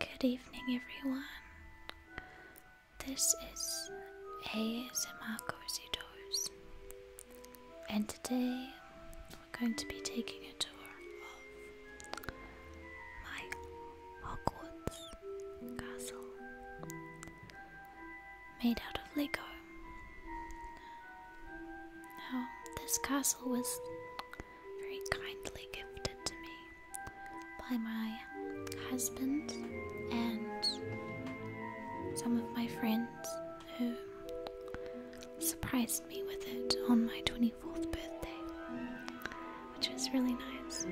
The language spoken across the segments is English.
Good evening, everyone. This is ASMR Cozy and today we're going to be taking a tour of my Hogwarts castle made out of Lego. Now, this castle was very kindly gifted to me by my husband and some of my friends who surprised me with it on my 24th birthday, which was really nice.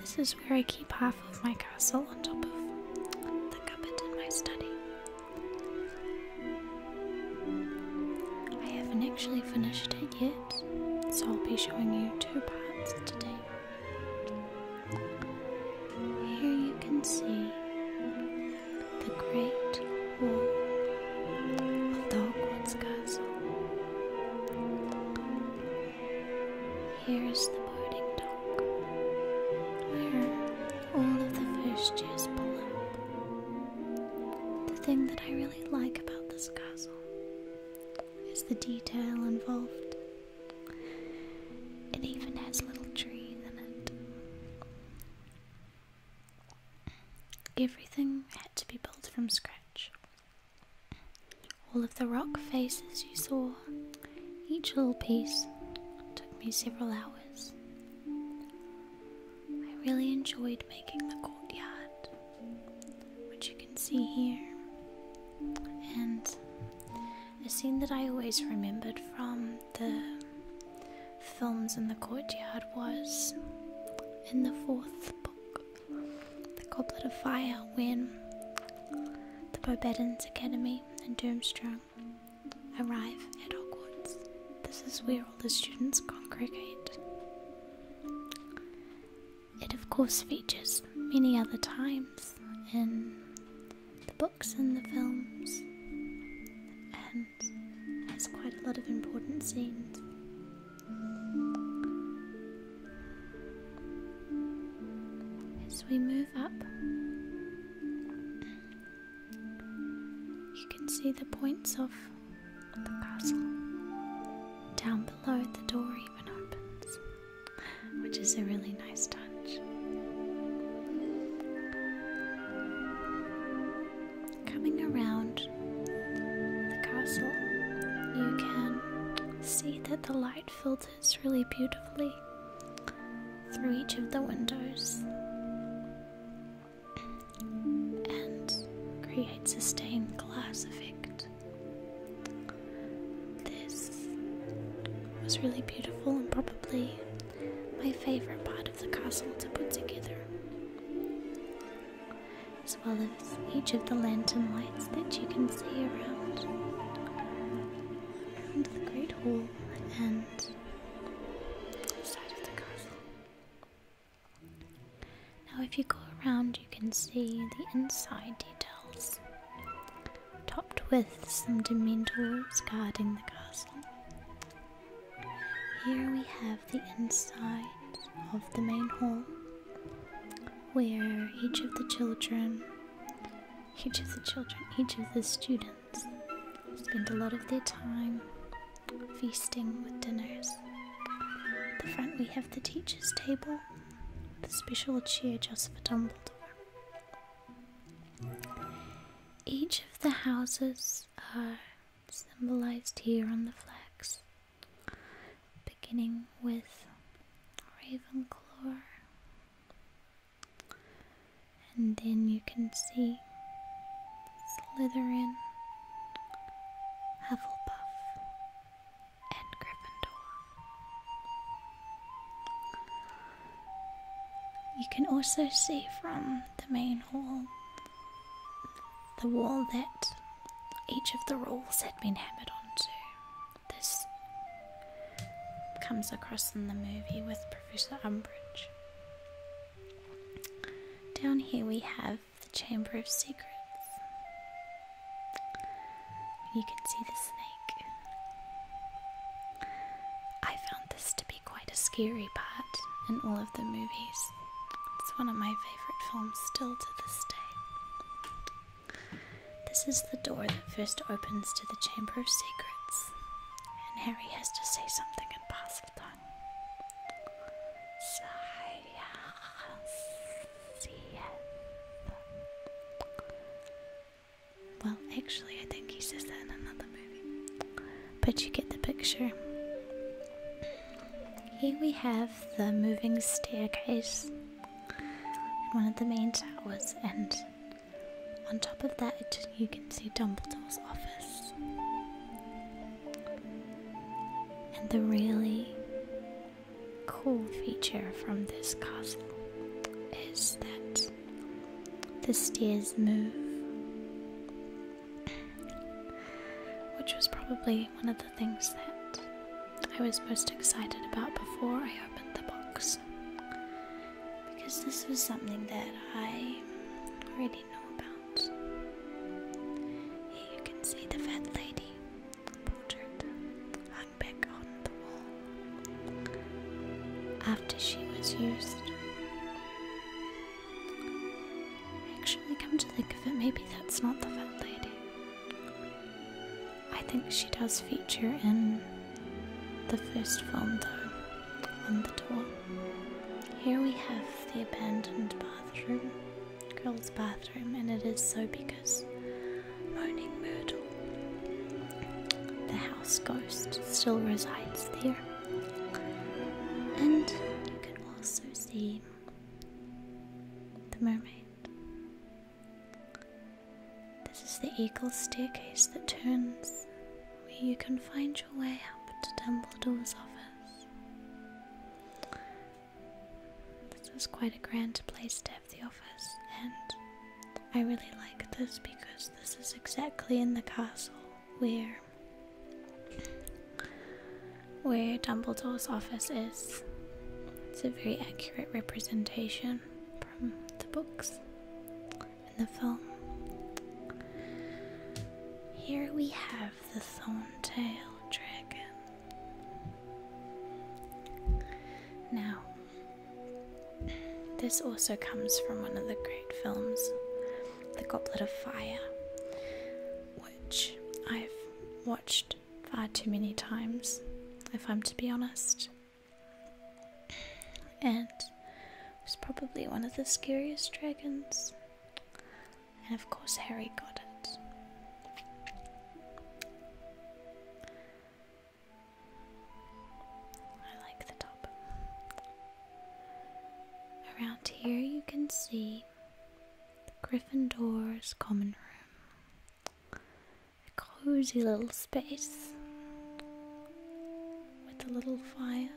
This is where I keep half of my castle on top of the cupboard in my study. I haven't actually finished it yet, so I'll be showing you two parts today. Here you can see the great wall of Dogwoods Castle. Here is the boarding dock where all of the fish juice below. The thing that I really like about this castle is the detail involved. It even has little trees in it. Everything had to be built from scratch. All of the rock faces you saw, each little piece, took me several hours I really enjoyed making the courtyard, which you can see here, and a scene that I always remembered from the films in the courtyard was in the fourth book, The Goblet of Fire, when the Bobedans Academy and Durmstrang arrive at Hogwarts. This is where all the students congregate. It, of course, features many other times in the books and the films and has quite a lot of important scenes. As we move up, you can see the points of the castle. Down below, the door even opens, which is a really nice touch. Coming around the castle, you can see that the light filters really beautifully through each of the windows and creates a stained glass effect. This was really beautiful and probably my favorite part of the castle to put together. As well as each of the lantern lights that you can see around, around the Great Hall and now, if you go around, you can see the inside details, topped with some dementors guarding the castle. Here we have the inside of the main hall, where each of the children, each of the children, each of the students spend a lot of their time feasting with dinners. At the front we have the teacher's table, the special chair just for Dumbledore. Each of the houses are symbolized here on the flags, beginning with Ravenclaw, and then you can see Slytherin, Hufflepuff, and Gryffindor. You can also see from the main hall the wall that each of the rules had been hammered onto. This comes across in the movie with Professor Umbridge. Down here we have the Chamber of Secrets. You can see the snake. I found this to be quite a scary part in all of the movies. It's one of my favourite films still to this day. This is the door that first opens to the Chamber of Secrets. And Harry has to say something in Basildon. Well, actually, I think he says that in another movie. But you get the picture. Here we have the moving staircase in one of the main towers, and on top of that, you can see Dumbledore's office. And the really cool feature from this castle is that the stairs move, which was probably one of the things that I was most excited about before I opened the box because this was something that I already know about. you can see the fat lady portrait hung back on the wall after she was used. Actually, come to think of it, maybe that's not the fat lady. I think she does feature in the first film, though, on the tour. Here we have the abandoned bathroom, girls' bathroom, and it is so because Moaning Myrtle, the house ghost, still resides there. And you can also see the mermaid this is the eagle staircase that turns, where you can find your way up to Dumbledore's office. This is quite a grand place to have the office, and I really like this because this is exactly in the castle where where Dumbledore's office is. It's a very accurate representation from the books and the film. Here we have the Thorntail Dragon. Now, this also comes from one of the great films, The Goblet of Fire, which I've watched far too many times, if I'm to be honest and was probably one of the scariest dragons. And of course, Harry got it. I like the top. Around here, you can see the Gryffindor's common room. A cozy little space with a little fire.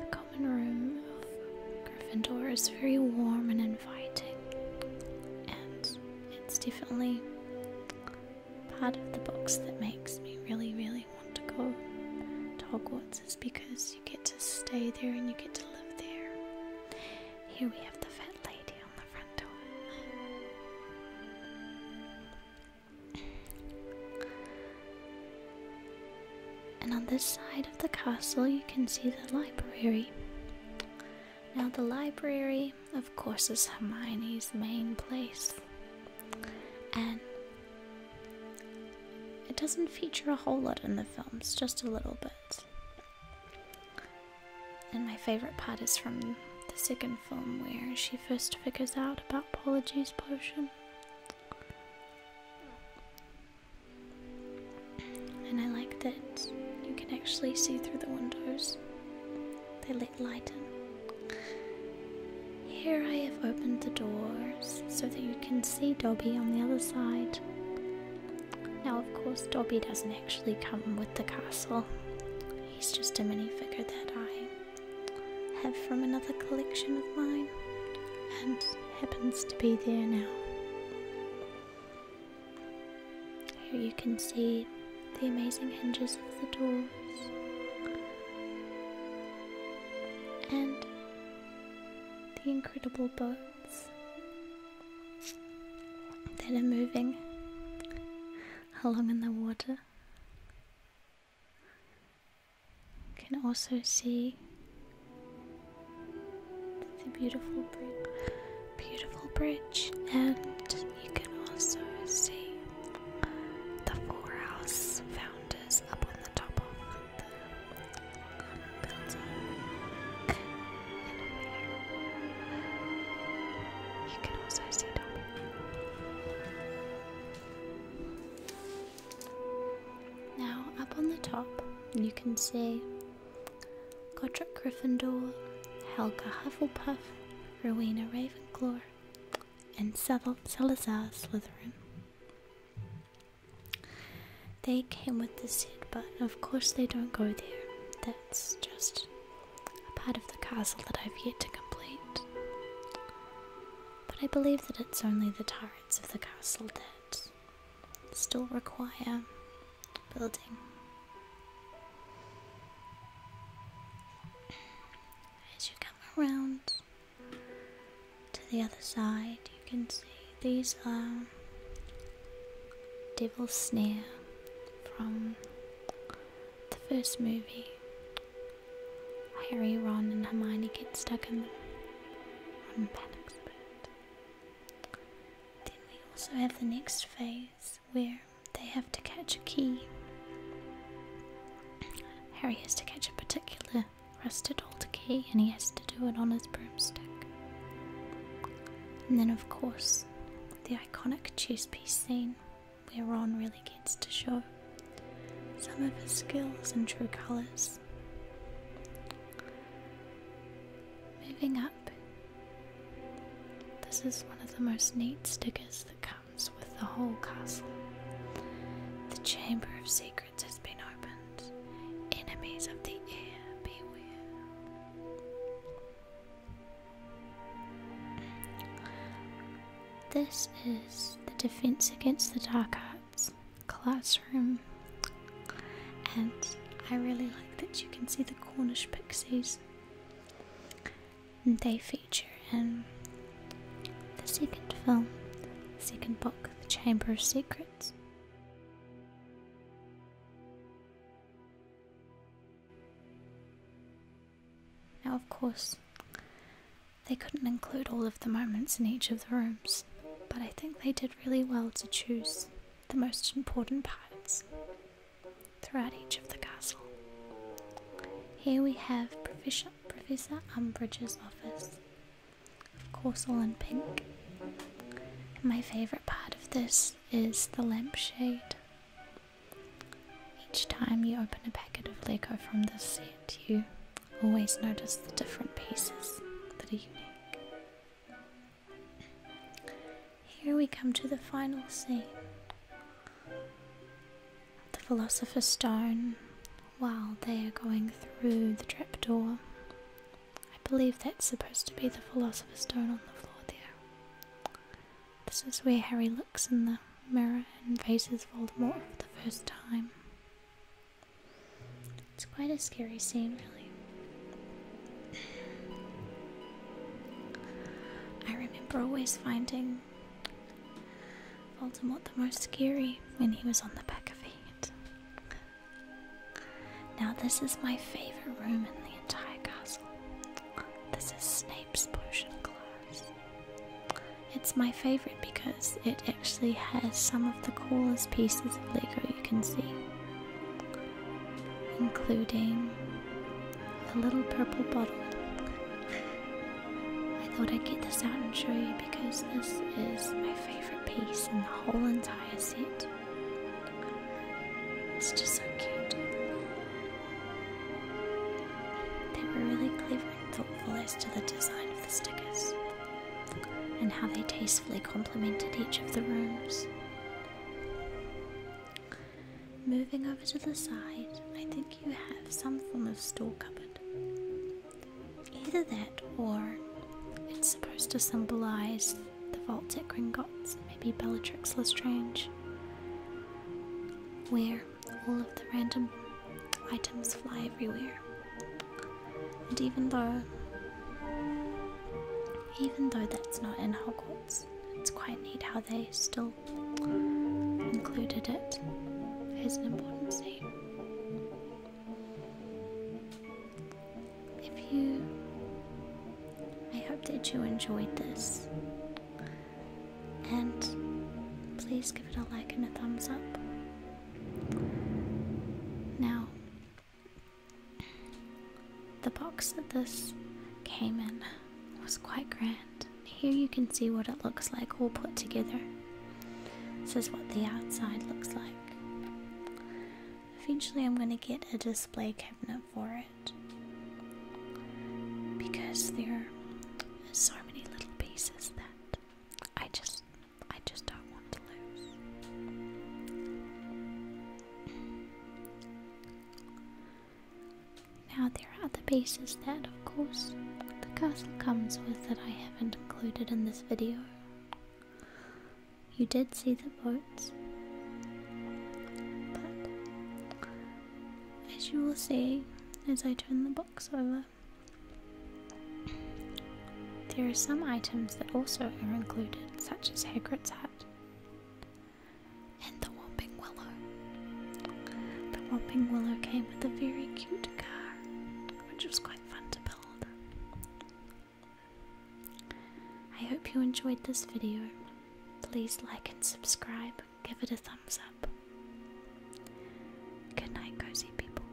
The common room of Gryffindor is very warm and inviting, and it's definitely part of the books that makes me really, really want to go to Hogwarts is because you get to stay there and you get to live there. Here we have the fat lady on the front door. And on this side of the castle, you can see the library. Now, the library, of course, is Hermione's main place. And it doesn't feature a whole lot in the films, just a little bit. And my favourite part is from the second film where she first figures out about Apology's potion. And I like that you can actually see through the windows, they let light in. Here I have opened the door so that you can see Dobby on the other side. Now, of course, Dobby doesn't actually come with the castle, he's just a mini figure that I have from another collection of mine and happens to be there now. Here you can see the amazing hinges of the doors. And the incredible boats that are moving along in the water. You can also see the beautiful bridge, beautiful bridge, and you can also see the four house founders up on the top of Builds up You can also see down Now, up on the top, you can see Godric Gryffindor, Helga Hufflepuff, Rowena Ravenclaw, and Salazar Slytherin. They came with the seed, but of course they don't go there. That's just a part of the castle that I've yet to complete. But I believe that it's only the turrets of the castle that still require building. As you come around, to the other side, you can see these are um, Devil's Snare from the first movie. Harry, Ron, and Hermione get stuck in them. Ron panics a Then we also have the next phase where they have to catch a key. Harry has to catch a particular rusted old decay, and he has to do it on his broomstick. And then, of course, the iconic chess piece scene, where Ron really gets to show some of his skills in true colours. Moving up, this is one of the most neat stickers that comes with the whole castle. The Chamber of Secrets. This is the Defense Against the Dark Arts classroom, and I really like that you can see the Cornish pixies. They feature in the second film, second book, The Chamber of Secrets. Now, of course, they couldn't include all of the moments in each of the rooms, but I think they did really well to choose the most important parts throughout each of the castle. Here we have Professor, Professor Umbridge's office, of course, all in pink. And my favourite part of this is the lampshade. Each time you open a packet of Lego from this set, you always notice the different pieces that are unique. Here we come to the final scene the Philosopher's Stone while they are going through the trapdoor. I believe that's supposed to be the Philosopher's Stone on the floor there. This is where Harry looks in the mirror and faces Voldemort for the first time. It's quite a scary scene, really. I remember always finding Voldemort the most scary when he was on the back of it. Now this is my favourite room in the entire castle. This is Snape's potion class. It's my favourite because it actually has some of the coolest pieces of Lego you can see. Including a little purple bottle I thought I'd get this out and show you because this is my favourite piece in the whole entire set. It's just so cute. They were really clever and thoughtful as to the design of the stickers and how they tastefully complemented each of the rooms. Moving over to the side, I think you have some form of store cupboard. Either that or it's supposed to symbolize the vault at Gringotts, maybe Bellatrix Lestrange, where all of the random items fly everywhere. And even though even though that's not in Hogwarts, it's quite neat how they still included it as an important scene. If you. I hope that you enjoyed this. And please give it a like and a thumbs up. Now, the box that this came in was quite grand. Here you can see what it looks like all put together. This is what the outside looks like. Eventually, I'm going to get a display cabinet for it because there are so many little pieces that I just I just don't want to lose. Now there are other pieces that, of course, the castle comes with that I haven't included in this video. You did see the boats, but as you will see as I turn the box over, there are some items that also are included, such as Hagrid's hat and the Whomping Willow. The Whomping Willow came with a very cute which was quite fun to build. I hope you enjoyed this video. Please like and subscribe, give it a thumbs up. Good night, cozy people.